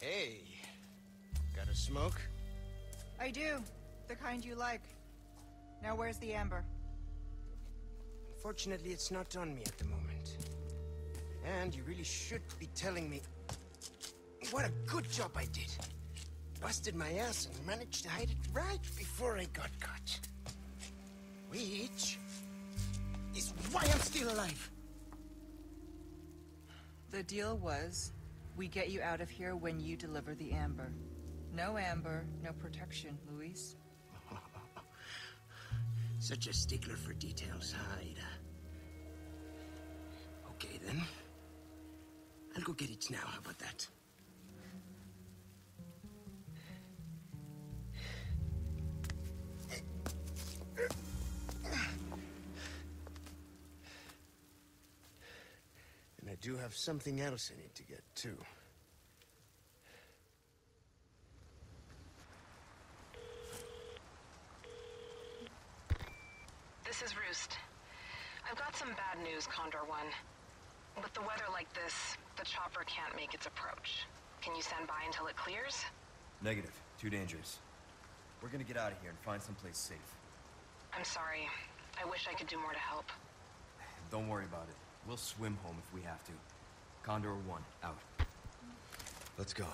Hey, got a smoke? I do. The kind you like. Now where's the amber? Unfortunately, it's not on me at the moment. And you really should be telling me what a good job I did busted my ass and managed to hide it right before I got caught. Which is why I'm still alive. The deal was, we get you out of here when you deliver the amber. No amber, no protection, Luis. Such a stickler for details, huh, Okay, then. I'll go get it now, how about that? And I do have something else I need to get, too. This is Roost. I've got some bad news, Condor One. With the weather like this, the chopper can't make its approach. Can you stand by until it clears? Negative. Too dangerous. We're gonna get out of here and find someplace safe. I'm sorry. I wish I could do more to help. Don't worry about it. We'll swim home if we have to. Condor 1, out. Let's go.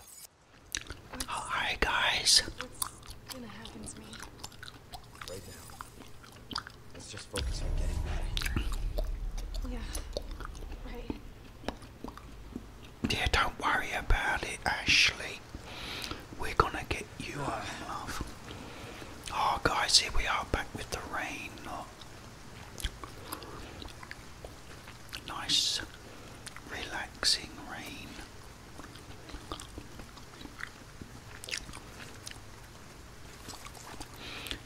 Alright, guys. Right now. Let's just focus on getting out of here. Yeah. Right. Yeah, don't worry about it, Ashley. We're gonna get you out of love. Oh, guys, here we are back with the rain. Look. Nice, relaxing rain.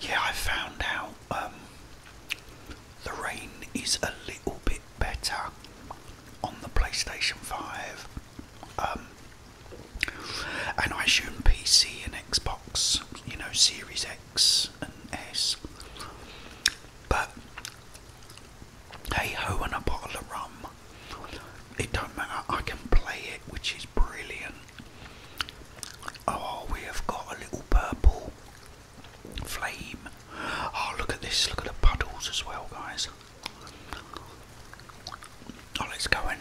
Yeah, I found out um, the rain is a little bit better on the PlayStation 5. Um, and I assume PC and Xbox, you know, Series X and S. But hey ho, and a bottle of rum. It don't matter, I can play it, which is brilliant. Oh, we have got a little purple flame. Oh, look at this, look at the puddles as well, guys. Oh, let's go in.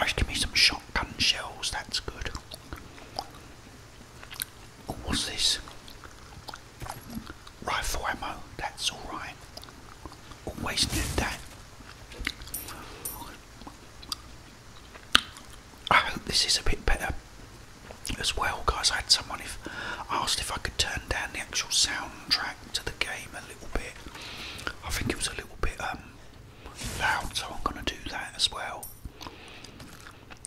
Oh, give me some shotgun shells, that's good what's this? Rifle ammo, that's alright. Always knew that. I hope this is a bit better as well, guys. I had someone if asked if I could turn down the actual soundtrack to the game a little bit. I think it was a little bit um loud, so I'm gonna do that as well.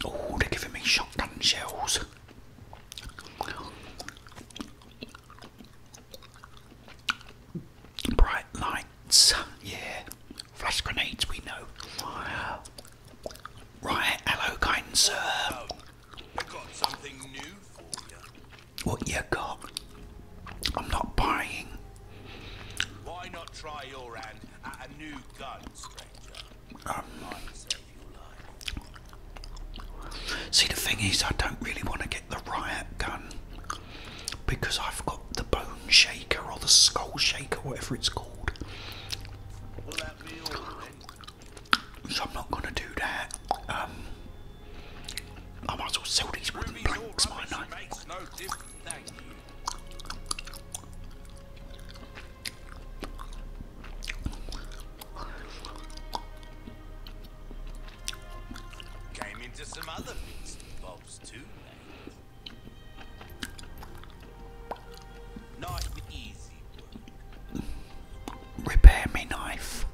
Oh, they're giving me shotgun shells. Bright lights, yeah. Flash grenades, we know. Right, hello, kind sir. What you got? I'm not buying. Why not try your hand at a new gun, stranger? see, the thing is, I don't really want to get the riot gun because I've got the bone shaker or the skull shaker, whatever it's called. So I'm not going to do that. Um, I might as well sell these wooden planks, mightn't Came into some other bits and bobs too Repair me knife.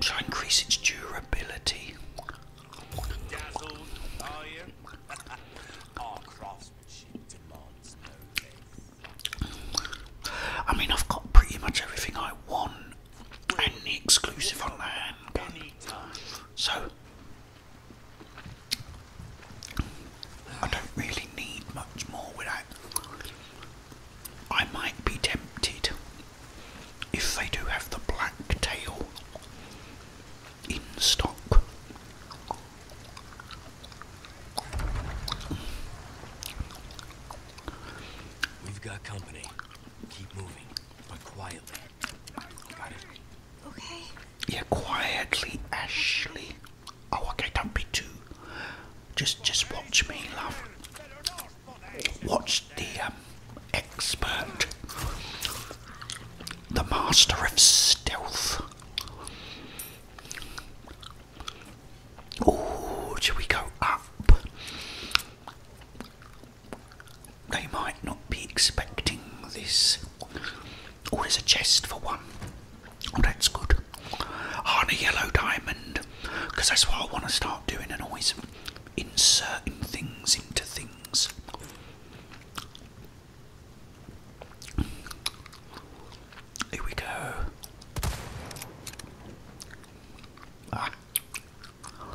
So increase its durability. I mean, I've got pretty much everything I want and the exclusive on the handgun. So, I don't really need much more with I might be tempted if they do have the black tail in stock. We've got company. Keep moving, but quietly. Got it? Okay. Yeah, quietly, Ashley. Oh, okay, don't be too. Just, just watch me, love. Watch the um, expert, the master of stealth. Oh, should we go up? They might not be expecting this. Oh, there's a chest for one. Oh, that's good. I On a yellow diamond, because that's what I want to start doing and always inserting things into things. Here we go. Ah. Oh,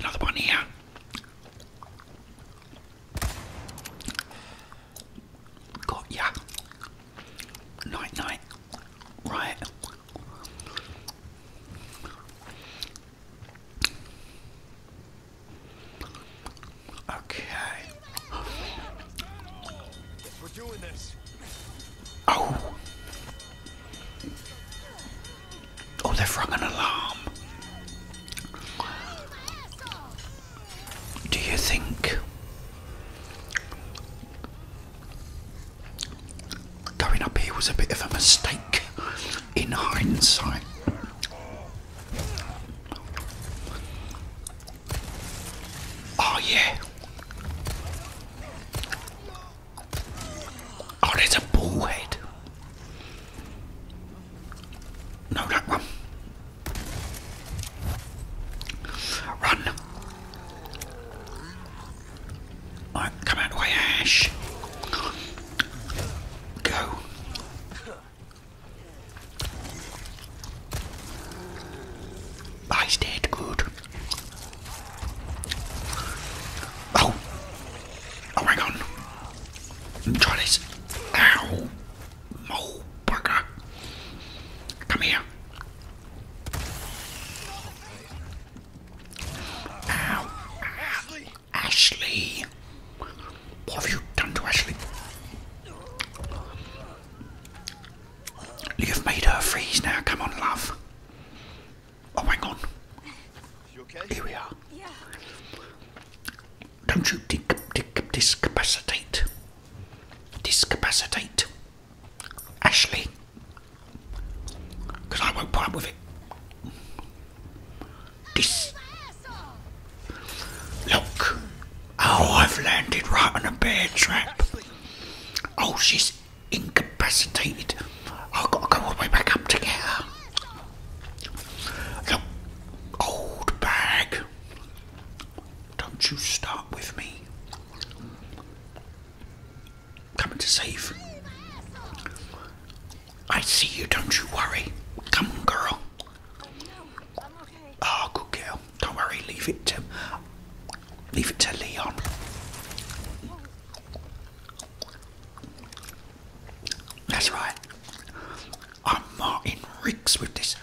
another one here. Got ya. Night, night. Right. Okay. Oh. Oh, they've rung an alarm. Do you think going up here was a bit of a mistake in hindsight? Oh yeah. Oh, there's a bull No, that one. Run. come out the way, Ash. Go. I stayed good. Oh. Oh my god. Try this. Ow. Oh, bugger. Come here. Ashley. What have you done to Ashley? You've made her freeze now. Come on, love. Oh, hang on. You okay? Here we are. Don't you dis discapacitate. Discapacitate. Ashley. Because I won't put with it this. Look. Oh, I've landed right on a bear trap. Oh, she's incapacitated. I've got to go all the way back up to get her. Look. Old bag. Don't you start with me. Coming to save. I see you, don't you worry. Come on, girl. Oh, oh, good girl. Don't worry, leave it to leave it to Leon. That's right. I'm Martin Riggs with this.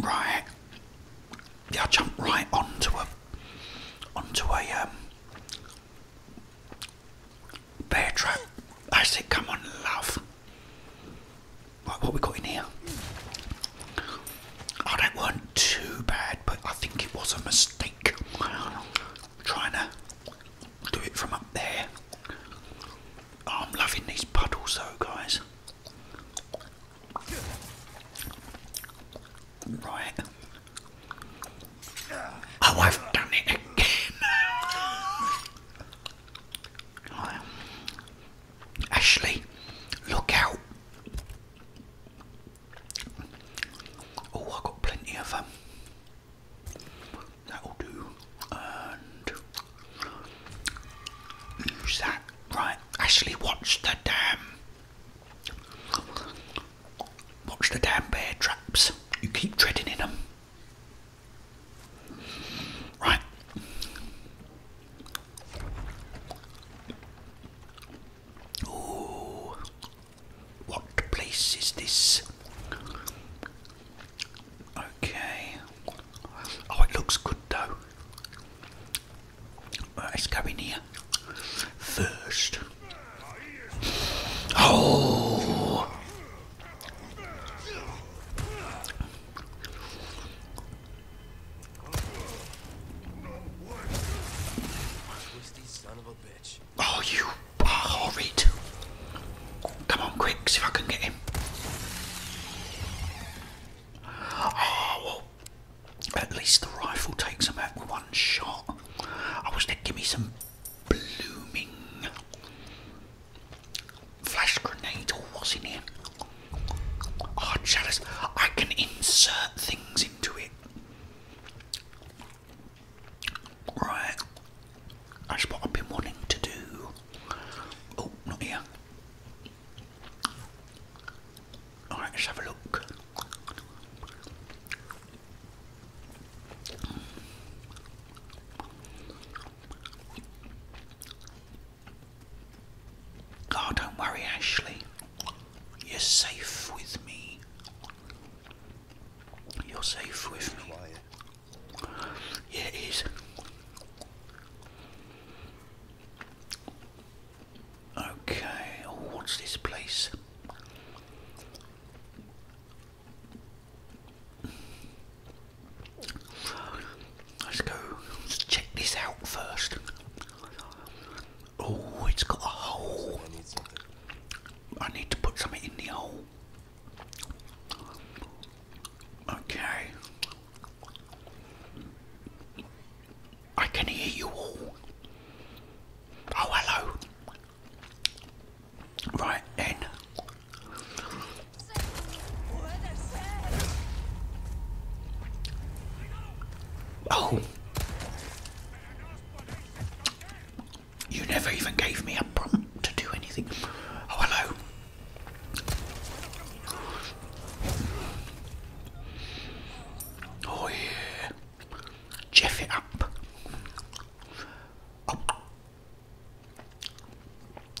Right. Yeah, jump right onto a onto a um bear trap. I said, come on, love. Right, what we got in here? Oh, that weren't too bad, but I think it was a mistake. Trying to do it from up there. Oh, I'm loving these puddles though, guys. Right. Oh, I've done it again. Ashley, look out. Oh, I've got plenty of them. Um, that'll do. Who's that? Right, Ashley, watch the damn. Watch the damn bear traps. You keep treading in them. Right. Ooh. What place is this? Okay. Oh, it looks good though it's coming here first. Oh! Son oh, you are Come on, quick, see if I can get him. Ah, oh, well, at least the rifle takes them out with one shot. I wish they'd give me some blooming flash grenade or what's in here. Oh, chalice, I can insert things into it. Right, that's what I've been wanting to do. Oh, not here. Alright, let's have a look. Oh, don't worry, Ashley. You're safe with me. You're safe with me. Yeah, it is. Okay, oh, what's this place? Let's go, let's check this out first. Oh, it's got a hole. I need to put something in the hole. Okay, I can hear you all. Oh, hello. Right then. Oh. You never even gave me a prompt to do anything. Oh, hello. Oh yeah, Jeff it up. Oh.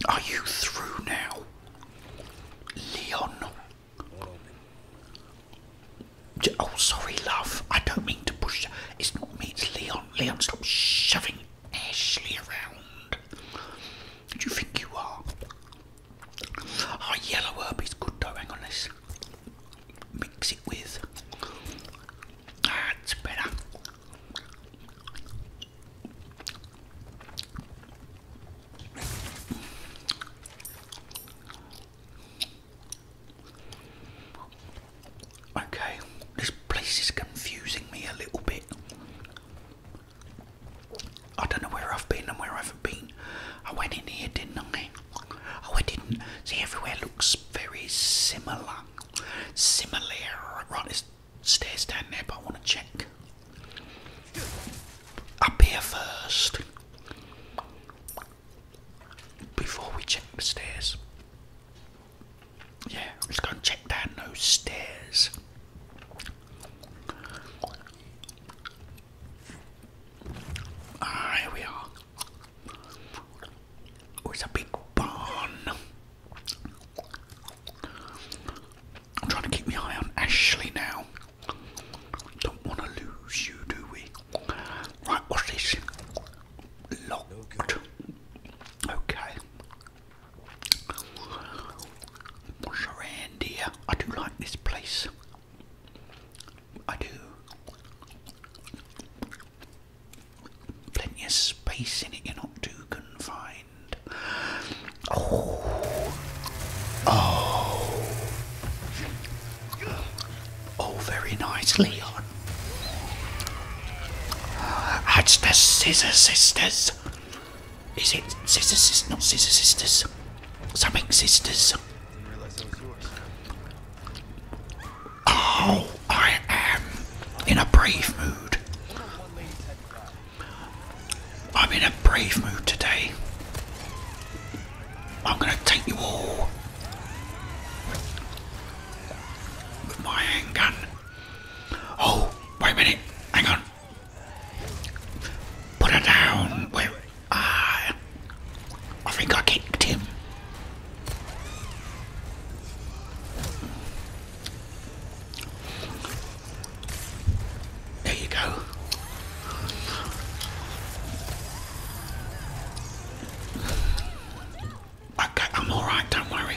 Are you through now, Leon? Oh, sorry, love. I don't mean to push. It's not me. It's Leon. Leon, stop shoving Ashley around. Do you think you are? Oh, yellow herb is good though. Hang on, let's mix it with. That's better. Okay, this place is confusing me a little bit. I don't know where I've been and where I haven't been. I went in here, didn't I? Oh, I didn't. See, everywhere looks very similar. Similar. Right, there's stairs down there, but I want to check. Up here first. Before we check the stairs. Yeah, let's go and check down those stairs. Ah, here we are. Oh, it's a big barn. I'm trying to keep my eye on Ashley now. Don't want to lose you, do we? Right, what's this? Locked. Okay. Sharandia. I do like this place. I do. Plenty of space in it, you're not too confined. Oh. Oh. Oh, very nice, Leon. That's the Scissor Sisters. Is it Scissor Sisters? Not Scissor Sisters. Something Sisters. Oh, I am in a brave mood. I'm in a brave mood today. I'm going to take you all with my handgun. Oh, wait a minute. Hang on put her down where I, I think I kicked him. There you go. Okay, I'm alright, don't worry.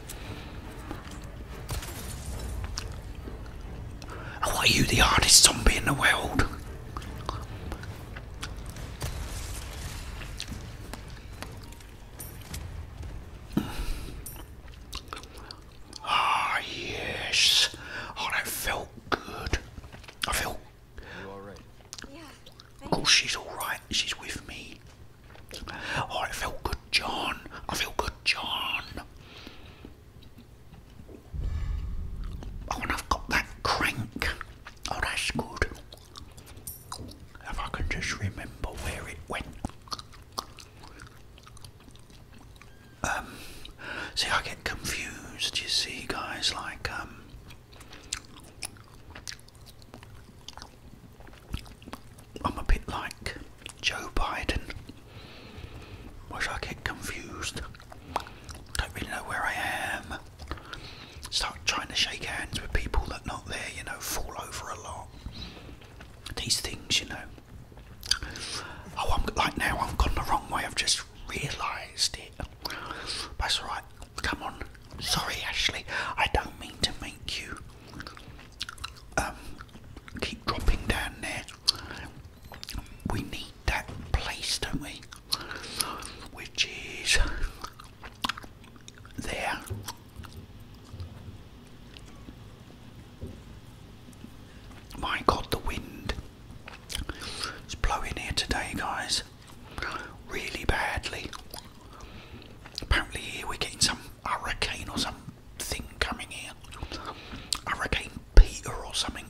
are you the hardest zombie in the world? Ah, yes. Oh, that felt good. I felt. Right? Yeah, oh, she's alright. She's with me. Oh, I feel good, John. I feel good, John. Oh, and I've that crank. Oh, that's good. If I can just remember where it went. Um, see, I get confused, you see, guys, like, um, I'm a bit like Joe Biden. Wish I get confused. Don't really know where I am. Start trying to shake hands with people that not there, you know, fall over a lot. These things, you know. Oh, I'm like now I've gone the wrong way. I've just realised it. That's all right. Come on. Sorry, Ashley. I don't mean to make you um, keep dropping down there. We need that place, don't we? Which is there. My god, the wind is blowing here today, guys. Really badly. Apparently, here we're getting some hurricane or something coming here. Hurricane Peter or something.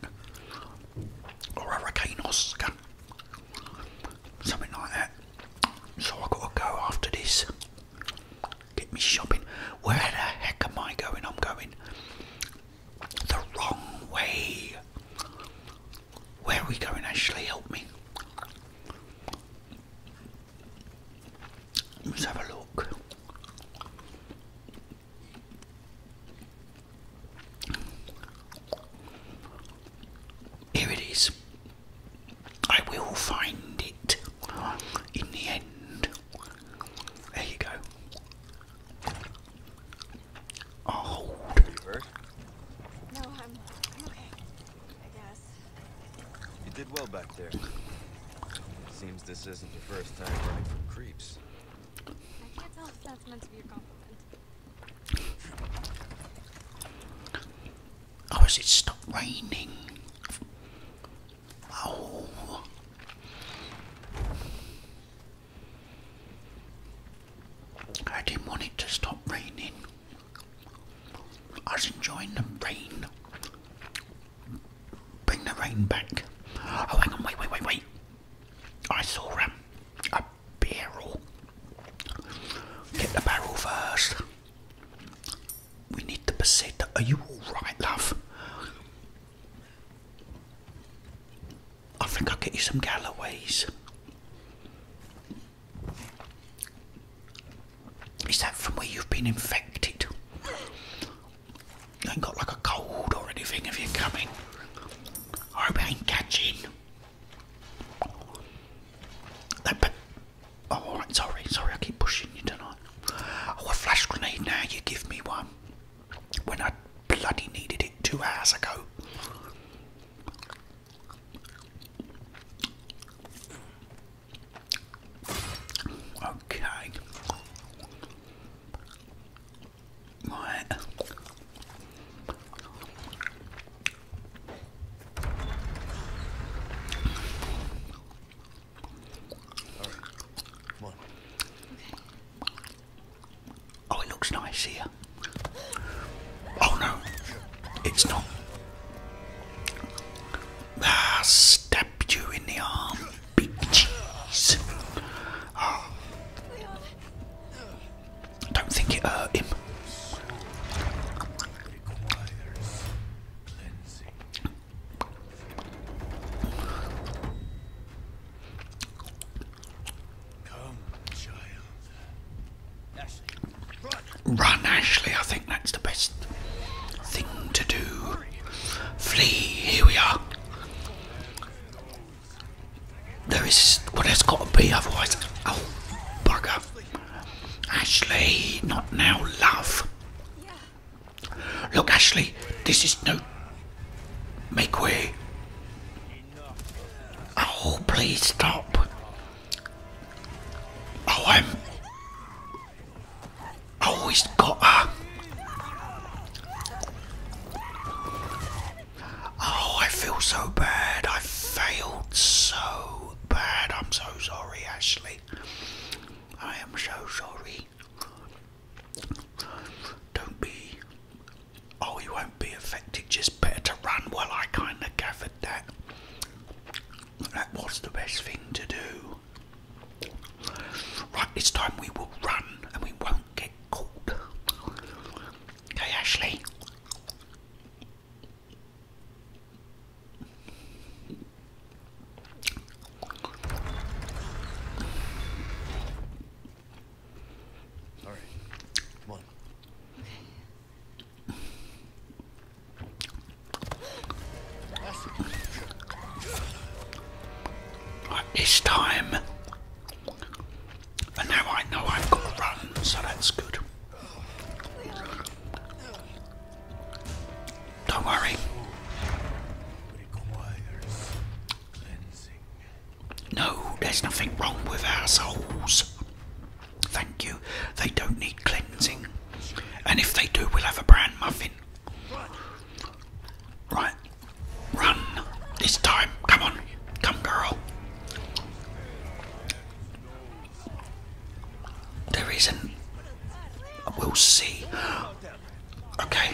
Or Hurricane Oscar. Something like that. So i got to go after this. Get me shopping. Where the heck am I going? I'm going the wrong way. Where are we going, Ashley? Help me. Let's have a look. Here it is. I will find it in the end. There you go. i you did well back there. Seems this isn't the first time running from creeps. I can't tell if that's meant to be a compliment. Oh, it stopped raining? Oh. I did want it to stop raining. I was enjoying the rain. Bring the rain back. Oh, hang on, wait, wait, wait, wait. I saw um, a, a barrel. Get the barrel first. We need the peseta. Are you alright, love? I think I'll get you some Galloways. Is that from where you've been infected? You ain't got like a cold or anything if you're coming. I hope I ain't catching. oh, sorry, sorry, I keep pushing you tonight. Oh, a flash grenade now, you give me one. When I bloody needed it two hours ago. Okay. Right. Oh, it looks nice here. Oh no, it's not. I ah, stabbed you in the arm, big cheese. Ah. don't think it hurt him. Run, Ashley. I think that's the best thing to do. Flee. Here we are. There is. Well, theres what there has got to be, otherwise. Oh, bugger. Ashley, not now, love. Look, Ashley, this is no. Make way. Oh, please stop. Oh, I'm always got a. Oh, I feel so bad. I failed so bad. I'm so sorry, Ashley. I am so sorry. Don't be. Oh, you won't be affected. Just better to run. Well, I kind of gathered that. That was the best thing to do. Right, this time we will run and we won't get caught. Okay, Ashley. All right, come on. This time. And now I know I've got to run, so that's good. Don't worry. No, there's nothing wrong with our souls. Thank you. They don't need cleansing. And if they do, we'll have a brand muffin. Right. Run. This time. Come on. Come, girl. There isn't. We'll see. Okay.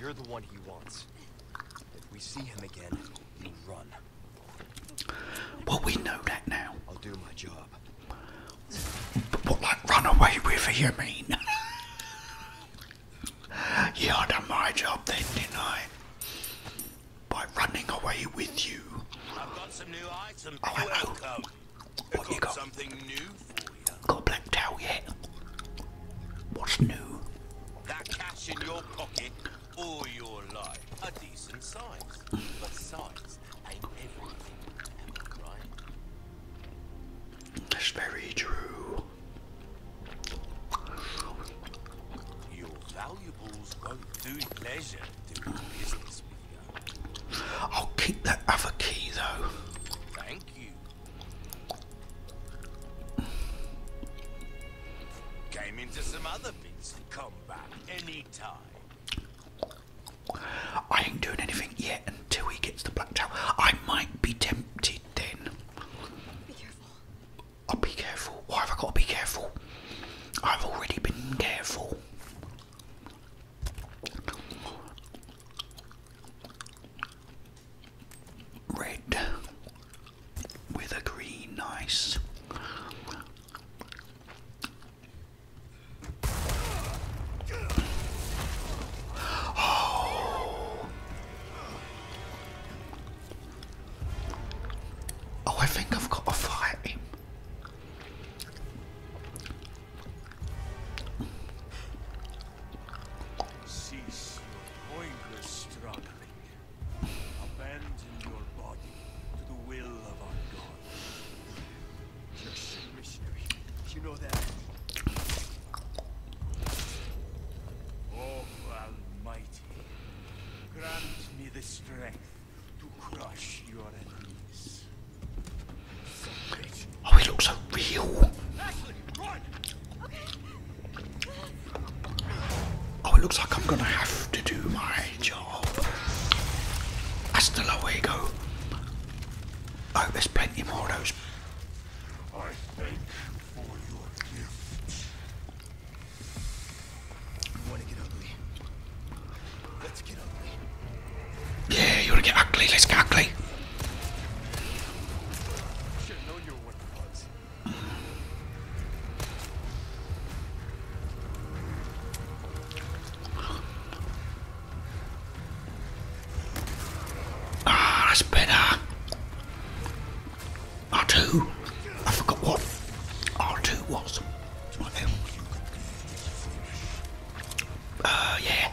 You're the one he wants. If we see him again, you run. Well, we know that now. I'll do my job. But what, like, run away with you mean? yeah, I done my job then, didn't I? By running away with you. I've got some new items. Oh, I know. What you got? Something new Got a black yet? What's new? That cash in your pocket all your life. A decent size. But size ain't everything. That's very true. Your valuables won't do pleasure doing business with you. I'll keep that other key though. Thank you. Came into some other beats. Come back anytime. I ain't doing anything yet until he gets the black tower. I might be tempted then. I'll be careful. Why have I got to be careful? I've already been careful red with a green, nice. Oh. oh, I think I've got to fight him. Cease your pointless struggling. Abandon your body to the will of our God. Just a missionary. You know that. Oh, Almighty, grant me the strength to crush your enemies. Oh, he looks so real. Oh, it looks like I'm gonna have to do my job. Hasta luego. Oh, there's plenty more of those. I thank for your gifts. Yeah, you wanna get ugly? Let's get ugly. Ah, that's better. R2. I forgot what R2 was. Uh, yeah.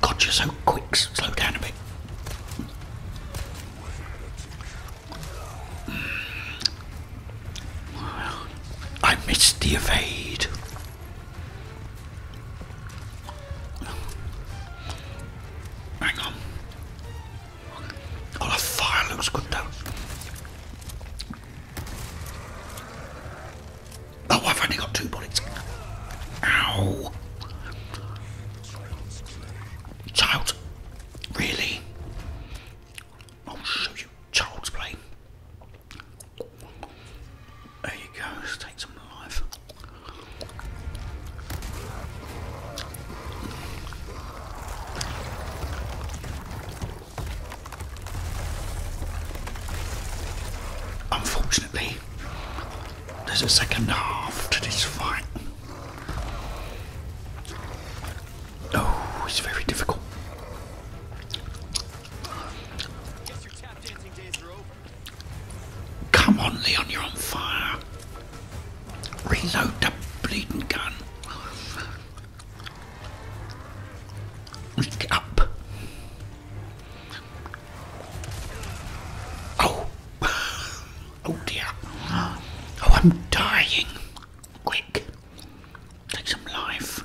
God, you're so quick. Slow down a bit. Mm. I missed the evade. Hang on. Oh, the fire looks good though. Oh, I've only got two bullets. Ow. Child. Really? I'll show you. Child's play. There you go. take some life. Unfortunately, there's a second half to this fight. Oh, it's very difficult. Come on, Leon, you're on fire. Reload the bleeding gun. Get up. Oh. Oh dear. Oh, I'm dying. Quick. Take some life.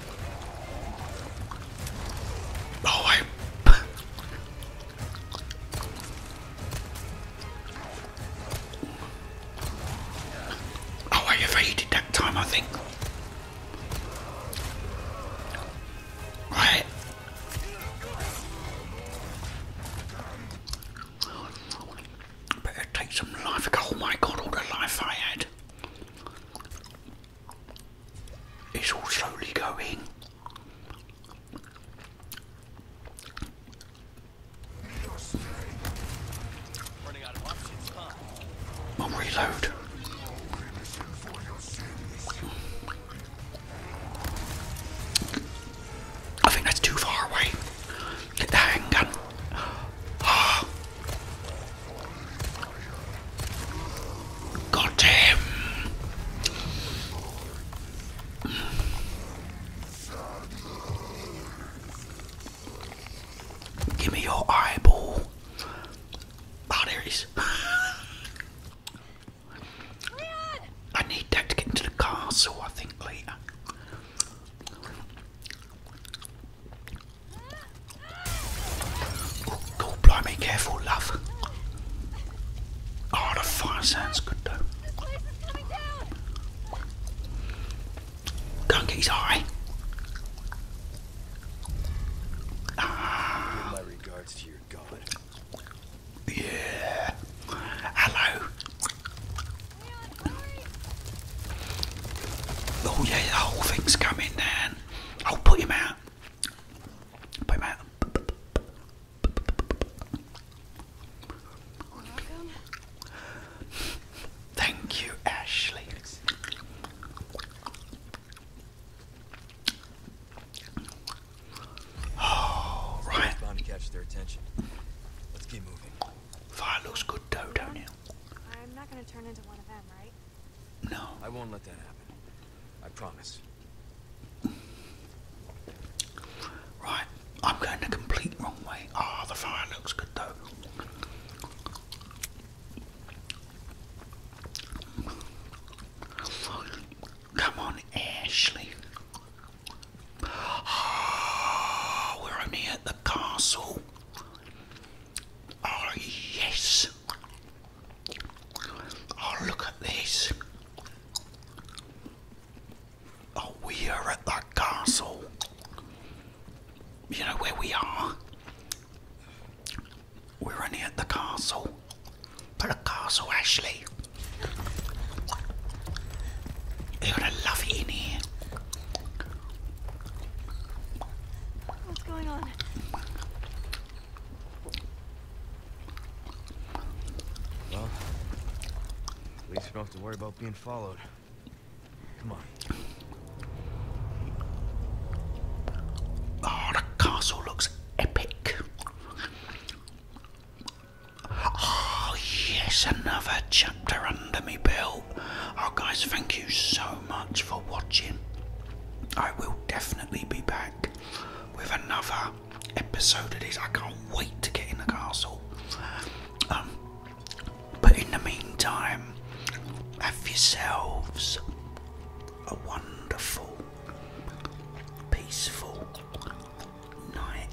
Oh, I. oh, I evaded that time, I think. Right. Better take some life. Oh my god, all the life I had. It's all slowly going. I'll reload. I think that's too far away. Get the handgun. Ah, Got him. Give me your eyeball. Oh, I need that to get into the castle, I think, later. Oh, oh blimey, careful, love. Oh, the fire sounds good though. Go and get his eye. Ah. My god. Yeah. Hello. Oh yeah, the whole thing's coming down. I'll put him out. Put him Thank you, Ashley. Oh, right. Fire looks good, though, do I'm not going to turn into one of them, right? No. I won't let that happen. I promise. Right, I'm going the complete wrong way. Ah, the fire looks good though. Come on, Ashley. Oh, we're only at the castle. Oh, yes. Oh, look at this. Oh, we are at that castle. You know where we are? We're only at the castle. But the castle, Ashley. They're gonna in here. What's going on? Well, at least we don't have to worry about being followed. Come on. Oh, the castle looks epic. Oh, yes, another chapter under me, Bill out. Oh, guys, thank you so much for watching. I will definitely be back with another episode of this. I can't wait to get in the castle. Um, but in the meantime, have yourselves a wonderful, peaceful night.